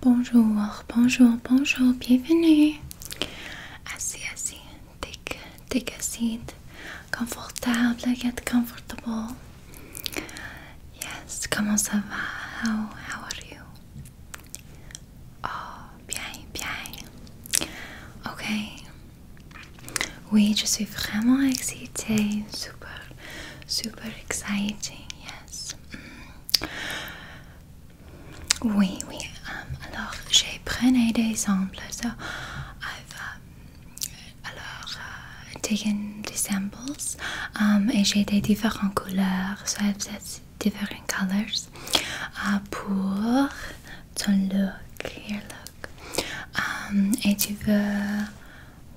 Bonjour, bonjour, bonjour, bienvenue. Assis, assis, take, a seat. Comfortable, get comfortable. Yes, comment ça va? How, how are you? Oh, bien, bien. Ok. Oui, je suis vraiment excitée. Super, super exciting, yes. Oui, oui. Euh, alors, j'ai pris euh, euh, des samples. I've, alors, taken samples. et j'ai des différentes couleurs. So I've said different colors uh, pour ton look, your look. Um, et tu veux...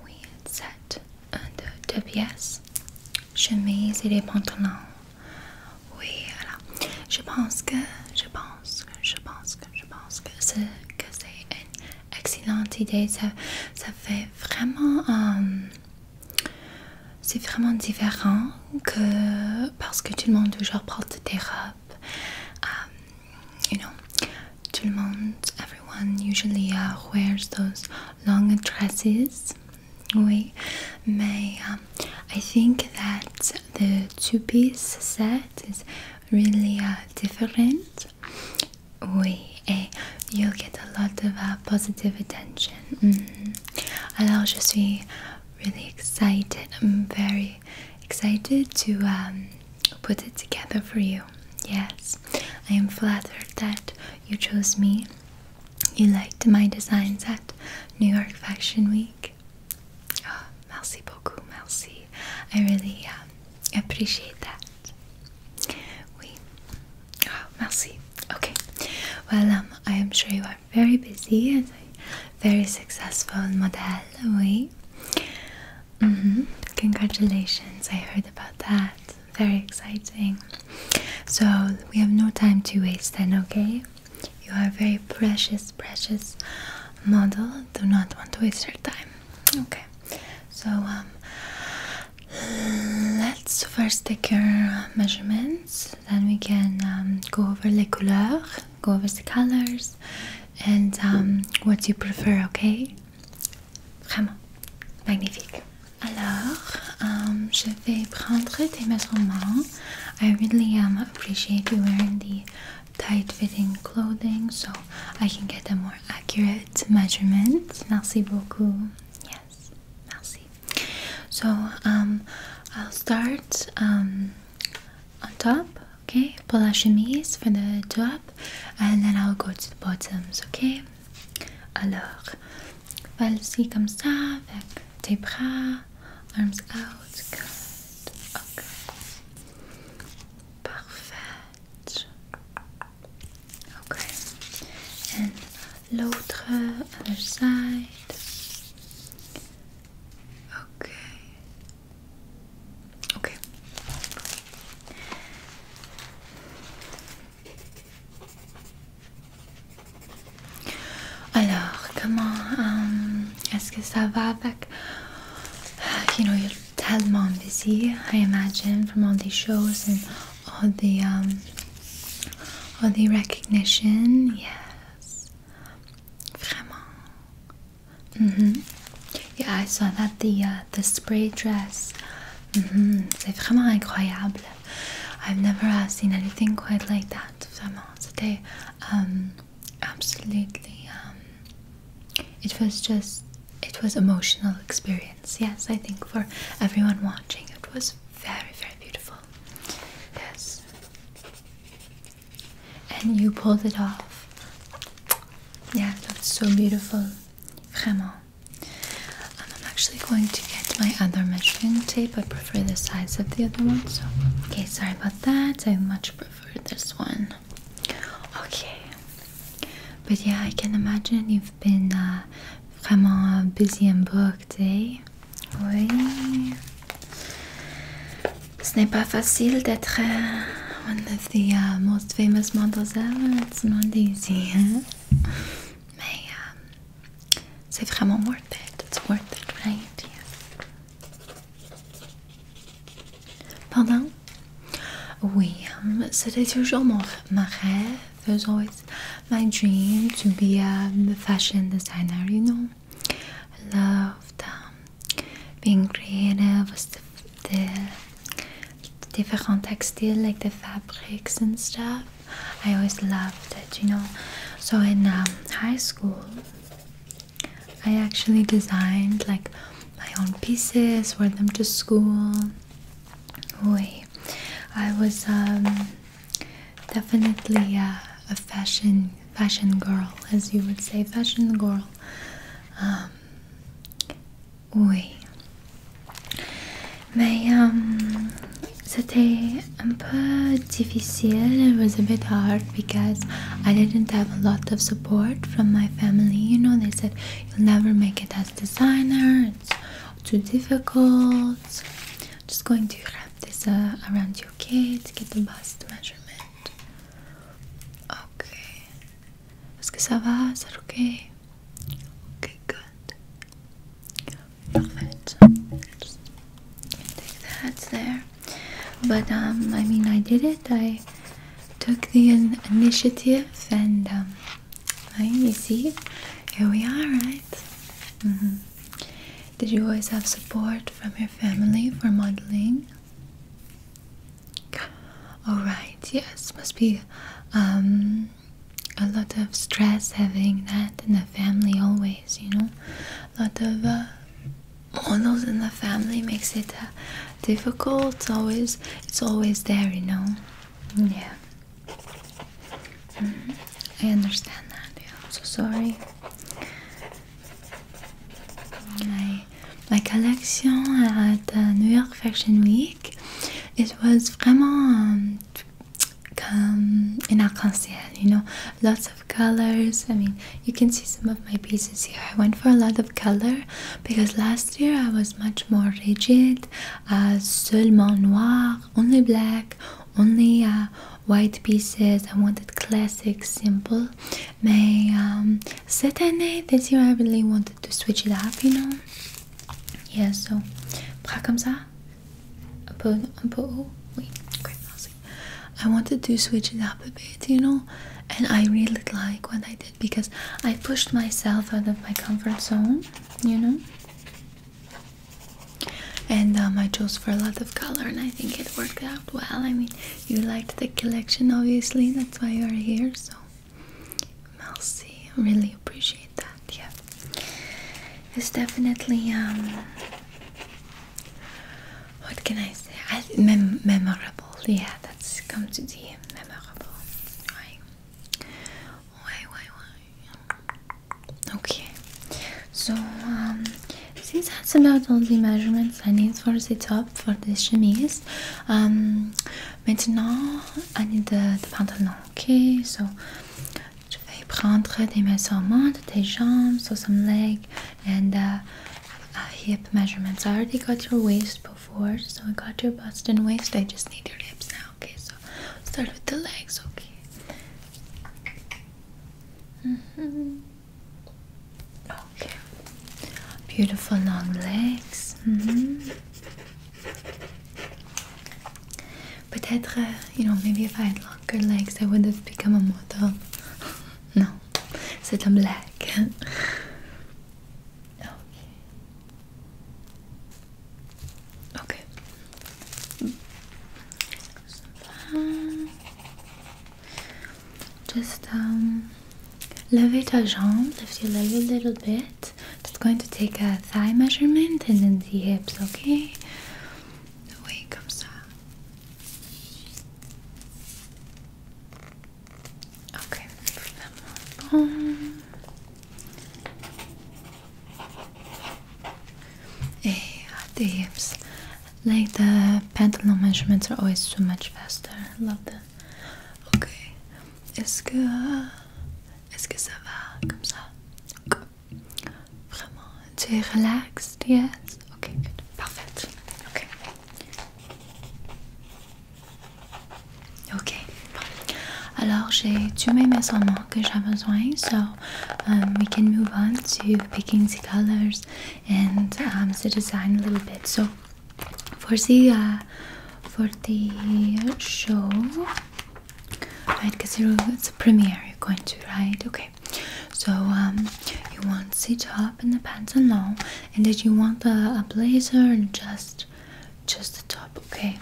Oui, ça de pièces, chemise et les pantalons. Oui, voilà. Je pense que, je pense que, je pense que, je pense que c'est une excellente idée. Ça, fait vraiment, euh, c'est vraiment différent que parce que tout le monde toujours porte des robes. Euh, you know, tout le monde, everyone usually euh, wears those long dresses we may um, I think that the two-piece set is really uh, different oui et eh, you'll get a lot of uh, positive attention mm -hmm. alors je suis really excited I'm very excited to um, put it together for you Yes, I am flattered that you chose me. You liked my designs at New York Fashion Week. Oh, merci beaucoup, merci. I really um, appreciate that. Oui. Oh, merci. Okay. Well, um, I am sure you are very busy and very successful model. Oui. Mm-hmm. Congratulations. I heard about that very exciting. So we have no time to waste then, okay? You are very precious, precious model. Do not want to waste your time. Okay. So um let's first take your measurements. Then we can um, go over the colors. go over the colors and um, what you prefer, okay? Vraiment magnifique. Alors, um, je vais prendre tes measurements. I really um, appreciate you wearing the tight-fitting clothing so I can get a more accurate measurement. Merci beaucoup. Yes, merci. So, um, I'll start um, on top, okay? Pour la chemise for the top and then I'll go to the bottoms, okay? Alors, falsi comme ça, avec tes bras, arms out, good, ok. Parfait. Ok. And l'autre, other side. Ok. Ok. Alors, comment um, est-ce euh, You know, you're tellement busy, I imagine, from all these shows and all the um, all the recognition. Yes, vraiment. Mm-hmm. Yeah, I saw that the uh, the spray dress. It's really incredible. I've never uh, seen anything quite like that. Vraiment, c'était um, absolutely. Um, it was just. It was emotional experience. Yes, I think for everyone watching, it was very very beautiful. Yes, and you pulled it off. Yeah, it looked so beautiful. Vraiment. I'm actually going to get my other measuring tape. I prefer the size of the other one, so okay, sorry about that. I much prefer this one. Okay, but yeah, I can imagine you've been uh, vraiment busy and booked, eh? Oui. Ce n'est pas facile d'être euh, of the uh, most famous models ever, it's not easy. Huh? Mais, um, c'est vraiment worth it. It's worth it, right? Yeah. Pardon? Oui, um, c'était toujours mon, ma rêve. It was always my dream to be a fashion designer, you know. I loved um, being creative with the, the different textile like the fabrics and stuff. I always loved it, you know. So in um, high school, I actually designed like my own pieces, wore them to school. Oy. I was um, definitely a fashion fashion girl, as you would say, fashion girl. Um, Oui. Mais um, c'était un peu difficile. It was a bit hard because I didn't have a lot of support from my family. You know, they said you'll never make it as designer. It's too difficult. just going to wrap this uh, around your okay to get the bust measurement. Okay. Est-ce que ça good. Perfect. take that there. But um, I mean, I did it. I took the initiative, and um, I, you see, here we are, right? Mm-hmm. Did you always have support from your family for modeling? Alright, yes, must be um, a lot of stress having that in the family always, you know. A lot of uh, models in the family makes it uh, difficult. It's always, it's always there, you know. Yeah. Mm-hmm. I understand that. Yeah, I'm so sorry. I my collection at uh, New York Fashion Week. It was vraiment um, in arc-en-ciel, you know, lots of colors. I mean, you can see some of my pieces here. I went for a lot of color because last year I was much more rigid, uh, seulement noir, only black, only uh, white pieces. I wanted classic, simple my um, this year I really wanted to switch it up, you know. Yeah, so bras comme ça, un peu, un peu I wanted to switch it up a bit, you know, and I really like what I did because I pushed myself out of my comfort zone, you know. And um, I chose for a lot of color, and I think it worked out well. I mean, you liked the collection, obviously, that's why you are here. So, Melcy, really appreciate that. Yeah, it's definitely um, what can I say? I, mem memorable. Yeah, that's come to the memorable. Why? Why? Why? Okay. So, um, since that's about all the measurement um, I need for the top for the chemise. Um, maintenant, à need the pantalon. Ok, so je vais prendre des measurements de tes jambes, so some leg and uh, hip measurements. I already got your waist before, so I got your bust and waist. I just need your hips now. Okay, so start with the legs. Okay. Mm-hmm. Okay. Beautiful long legs. Mm-hmm. Peut-être, euh, you know, maybe if I had longer legs, I would have become a model. no, c'est un black. Okay. Just um, a jambe, lift your leg a little bit. Just going to take a thigh measurement and then the hips, okay? The way comes out. Okay, um, and eh, the hips like the pantalon measurements are always so much faster. love them. Okay. It's good. It's est-ce que ça Okay. Vraiment. Tu es Yes. Okay, good. Okay. Ok, bon. so um, we can move on to picking the colors and um, the design a little bit. So for the uh, for the show, right? Because it's a premiere you're going to, right? Okay. So um, you want the top and the pants and long, and then you want the a blazer and just just the top, okay?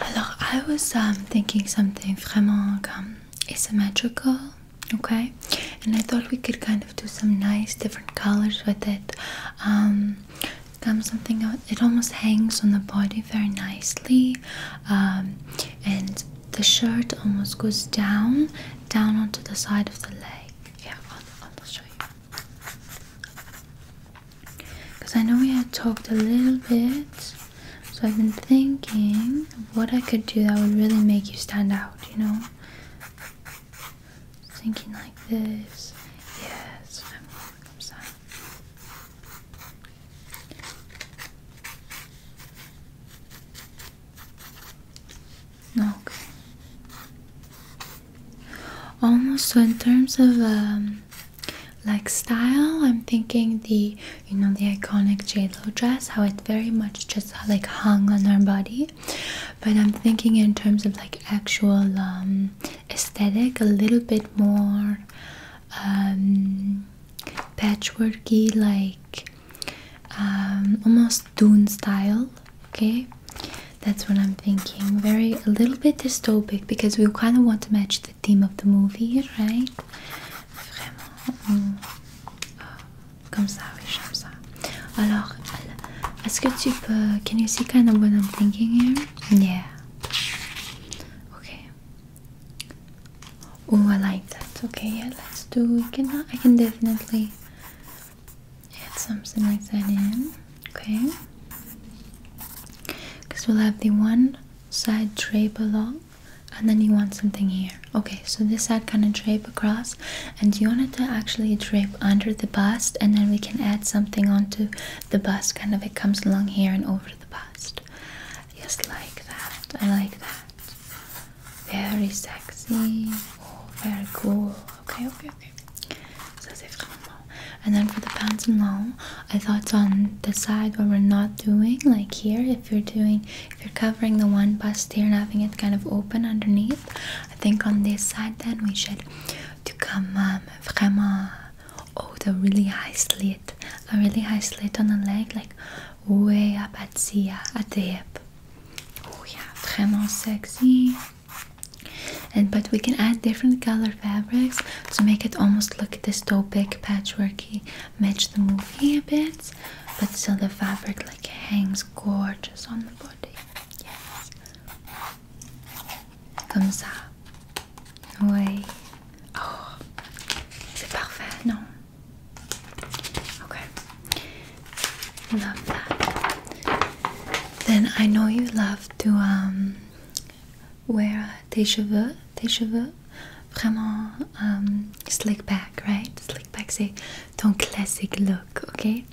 Alors, I was um, thinking something vraiment asymmetrical okay and I thought we could kind of do some nice different colors with it um, comes something out it almost hangs on the body very nicely um, and the shirt almost goes down down onto the side of the leg yeah I'll, show you because I know we had talked a little bit so I've been thinking what I could do that would really make you stand out you know Thinking like this. Yes, Okay. Almost so in terms of um like style, I'm thinking the you know the iconic jade dress, how it very much just like hung on our body. But I'm thinking in terms of like actual um, aesthetic, a little bit more um, patchworky, like um, almost Dune style. Okay, that's what I'm thinking. Very a little bit dystopic because we kind of want to match the theme of the movie, right? vraiment comme ça, oui, j'aime ça. Alors, est-ce que tu peux. Can you see kind of what I'm thinking here? Yeah. Okay. Oh, I like that. Okay, yeah, let's do. Can I, I can definitely add something like that in. Okay. Because we'll have the one side drape along and then you want something here okay so this side kind of drape across and you want it to actually drape under the bust and then we can add something onto the bust kind of it comes along here and over the bust just like that i like that very sexy oh, very cool okay okay okay and then for the pants and long, i thought on the side where we're not doing like here if you're doing if you're covering the one bust here and having it kind of open underneath I think on this side then we should to come um, vraiment oh the really high slit a really high slit on the leg like way up at the, uh, at the hip oh yeah vraiment sexy and but we can add different color fabrics to make it almost look dystopic patchworky match the movie a bit but still the fabric like hangs gorgeous on the body yes comme ça oui oh c'est parfait non okay love that then I know you love to um, wear tes cheveux tes vraiment euh, slick back, right? Slick back, c'est ton classic look, okay?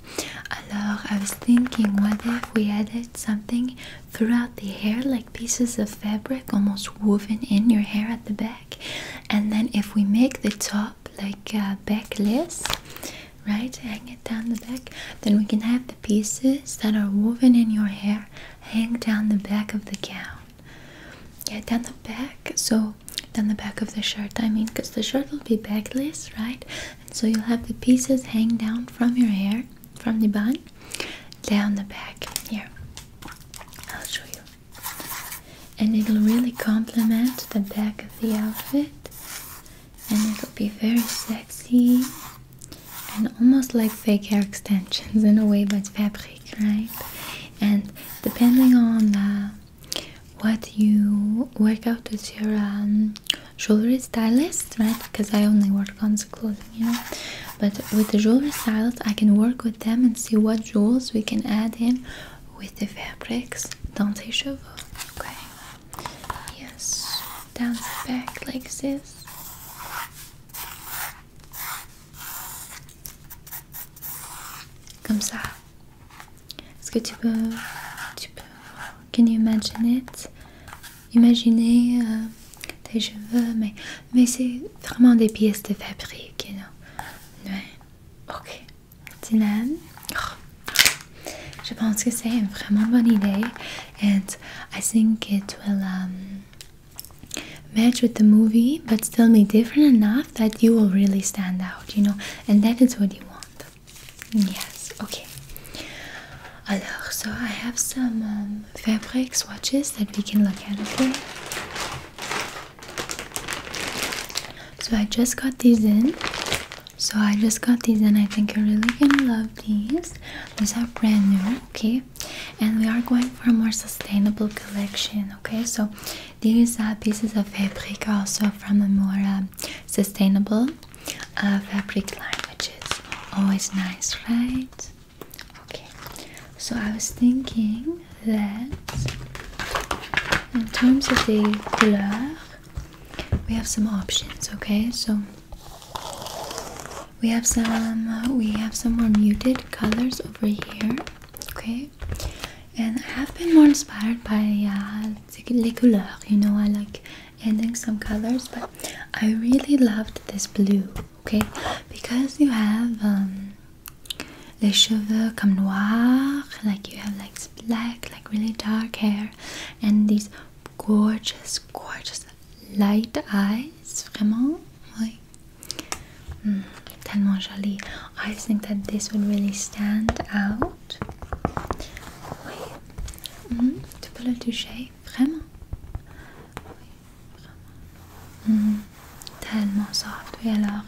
Alors, I was thinking, what if we added something throughout the hair, like pieces of fabric almost woven in your hair at the back? And then if we make the top like uh, backless, right? Hang it down the back, then we can have the pieces that are woven in your hair hang down the back of the gown yeah down the back so down the back of the shirt i mean because the shirt will be backless right so you'll have the pieces hang down from your hair from the bun down the back here i'll show you and it'll really complement the back of the outfit and it'll be very sexy and almost like fake hair extensions in a way but fabric right and depending on uh, what you work out with your um, jewelry stylist, right? Because I only work on the clothing, you know. But with the jewelry stylist, I can work with them and see what jewels we can add in with the fabrics. Don't they shovel? Okay. Yes. Down the back like this. Comme ça. Est-ce que tu peux, tu peux, can you imagine it? Imaginer euh, tes cheveux, mais, mais c'est vraiment des pièces de fabrique, you know? Ouais. Ok. Dylan. Je pense que c'est une vraiment bonne idée. And I think it will va... Um, match with the movie but still be different enough that you will really stand out, you know, and that is what you want. Yes, okay. Alors, so I have some um, fabric swatches that we can look at, okay? So I just got these in. So I just got these and I think you're really gonna love these. These are brand new, okay? and we are going for a more sustainable collection okay so these are pieces of fabric also from a more um, sustainable uh, fabric line which is always nice right okay so i was thinking that in terms of the color we have some options okay so we have some uh, we have some more muted colors over here okay and I have been more inspired by uh, les you know I like adding some colors but I really loved this blue okay because you have um, les cheveux comme noir like you have like black like really dark hair and these gorgeous gorgeous light eyes vraiment oui Hmm, tellement joli. I think that this would really stand out. Oui. Mm, tu peux le toucher, vraiment. Oui, vraiment. Mm, tellement soft. Oui, alors,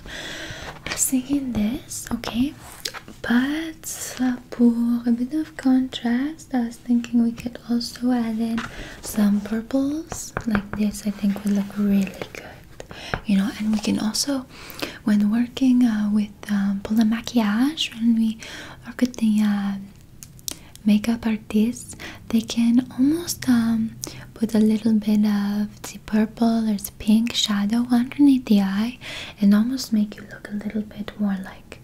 singing this, okay. But for a bit of contrast, I was thinking we could also add in some purples like this I think would look really good you know and we can also when working uh, with um, pour le maquillage when we work with the um, makeup artist, they can almost um, put a little bit of the purple or the pink shadow underneath the eye and almost make you look a little bit more like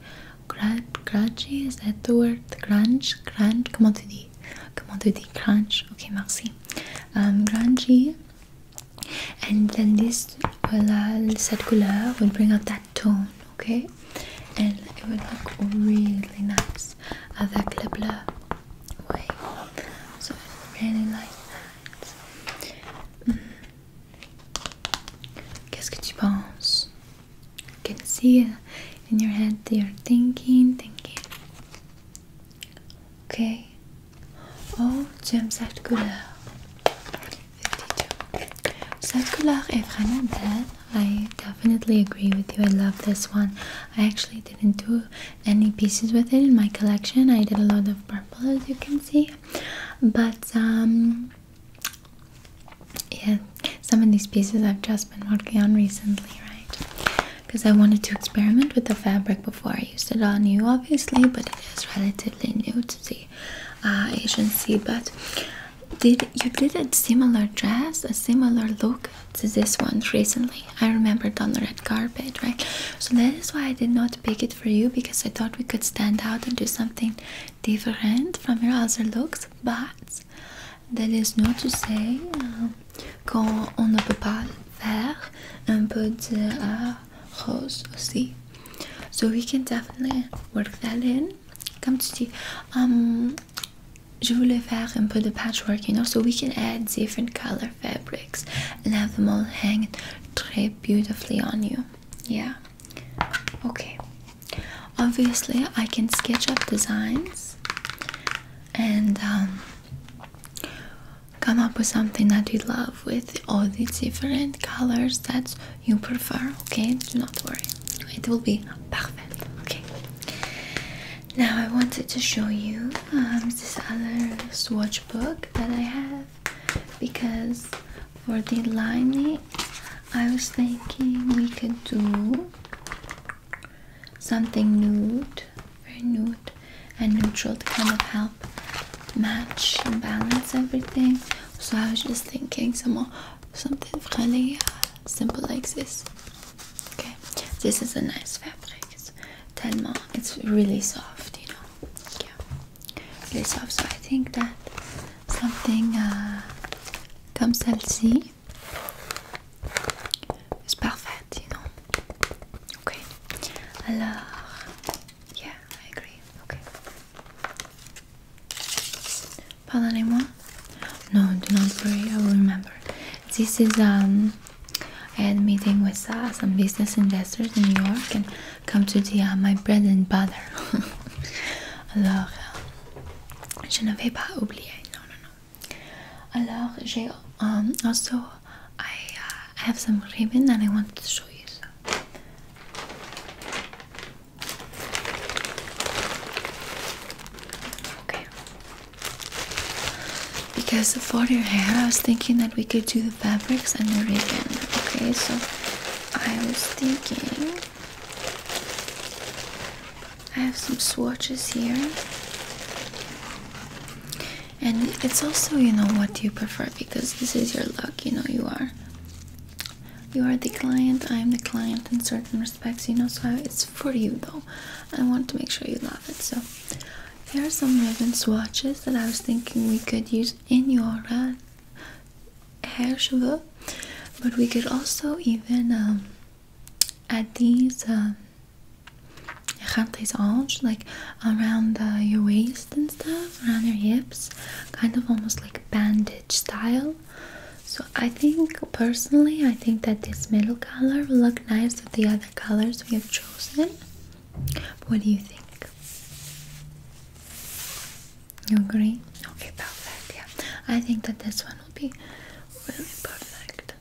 grungy is that the word grunge grunge comment tu dis Come Comment tu dis Crunch Ok, merci. Um, grungy. And then this, voilà, cette couleur will bring out that tone, ok? And it will look really nice avec le bleu. Oui. So I really like that. Hmm. Qu'est-ce que tu penses? I can see it in your head you're thinking, thinking. Okay. Oh, j'aime cette couleur. 52. Cette couleur I definitely agree with you. I love this one. I actually didn't do any pieces with it in my collection. I did a lot of purple, as you can see. But um, yeah, some of these pieces I've just been working on recently, right? Because I wanted to experiment with the fabric before I used it on you, obviously, but it is relatively new to the uh, agency. But did you did a similar dress, a similar look to this one recently? I remembered on the red carpet, right? So that is why I did not pick it for you because I thought we could stand out and do something different from your other looks, but française. That is not to say, euh, quand on ne peut pas le faire, un peu de uh, rose aussi. So we can definitely work that in. Comme tu dis, um, je voulais faire un peu de patchwork, you know, so we can add different color fabrics and have them all hang très beautifully on you. Yeah. Okay. Obviously, I can sketch up designs and um, come up with something that you love with all the different colors that you prefer. Okay, do not worry, it will be perfect. Okay, now I wanted to show you um, this other swatch book that I have because for the lining I was thinking we could do something nude, very nude and neutral to kind of help match and balance everything. So I was just thinking some something really uh, simple like this. Okay, this is a nice fabric. It's tellement it's really soft, you know. Yeah, really soft. So I think that something comes uh, comme celle-ci it's perfect, you know. Okay. Alors, yeah, I agree. Okay. Pardonnez-moi. No, do not worry. I will remember. This is um, I had meeting with uh, some business investors in New York and come to the uh, my bread and butter. Alors, um, um, also I uh, have some ribbon and I want to show you. Okay. Because for your hair, I was thinking that we could do the fabrics and the ribbon. Okay, so I was thinking I have some swatches here. And it's also, you know, what do you prefer because this is your look, you know, you are you are the client, I am the client in certain respects, you know, so it's for you though. I want to make sure you love it. So here are some ribbon swatches that I was thinking we could use in your uh, hair cheveux but we could also even um, add these um, orange like around your waist and stuff around your hips kind of almost like bandage style so i think personally i think that this middle color will look nice with the other colors we have chosen what do you think you agree? Okay, perfect. Yeah, I think that this one will be really perfect.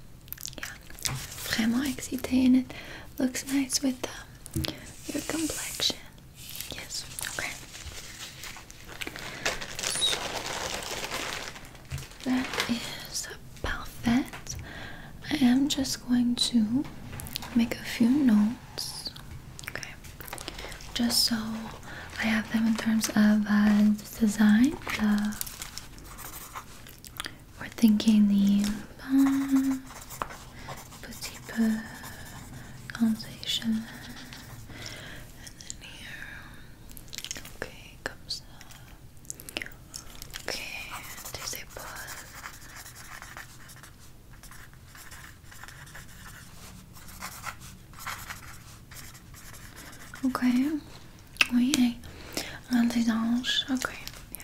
Yeah, vraiment more and it looks nice with um, your complexion. Yes. Okay. So that is perfect. I am just going to make a few notes. Okay just so I have them in terms of uh, design. we're thinking the um, conversation, and then here, okay, comes Okay, there's a Okay. Oui, hey. Un des anges. Okay. Yeah.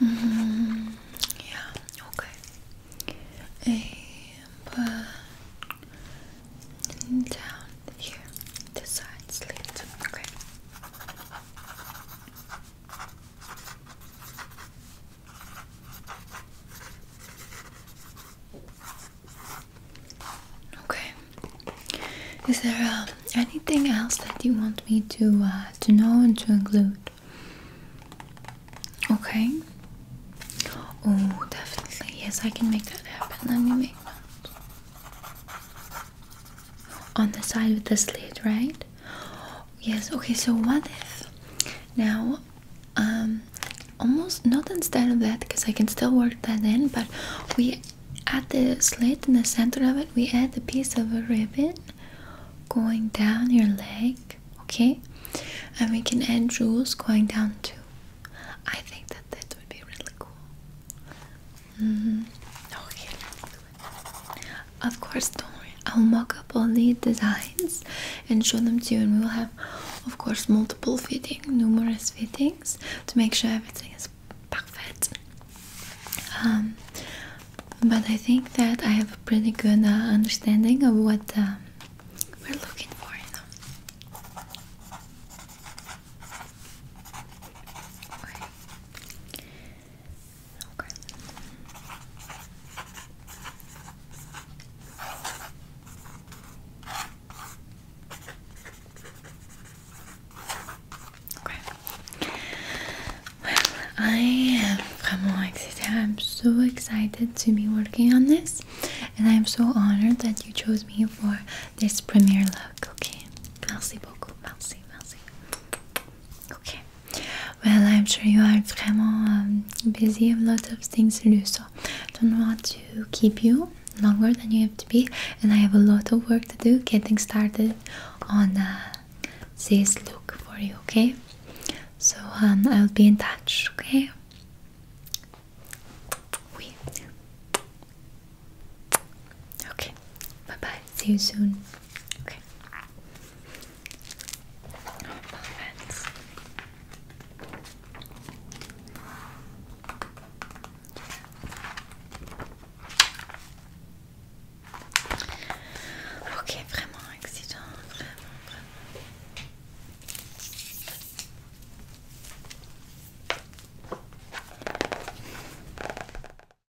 Mm-hmm. Okay. Hey, down here, the side Okay. Is there uh, anything else that you want me to uh, to know and to include? Okay. Oh, definitely. Yes, I can make that happen. Let me make that. On the side with the slit, right? Yes, okay, so what if now um, almost not instead of that because I can still work that in but we at the slit in the center of it we add a piece of a ribbon going down your leg okay and we can add jewels going down too. I think that that would be really cool. Mm-hmm. Okay, of course, don't worry. I'll mock up all the designs and show them to you, and we will have, of course, multiple fitting, numerous fittings to make sure everything is perfect. Um, but I think that I have a pretty good uh, understanding of what uh, we're looking for. You know? Okay. Okay. Well, I am vraiment excited. I'm so excited to be working on this, and I'm so honored that you chose me for this premiere look. Okay. Merci beaucoup. Merci, merci. Okay. Well, I'm sure you are vraiment um, busy, a lot of things to do, so I don't want to keep you longer than you have to be. And I have a lot of work to do getting started on uh, this look for you, okay? So um, I'll be in touch, okay? Okay, bye bye, see you soon. Ok. Parfait. Ok, vraiment accident, vraiment, vraiment.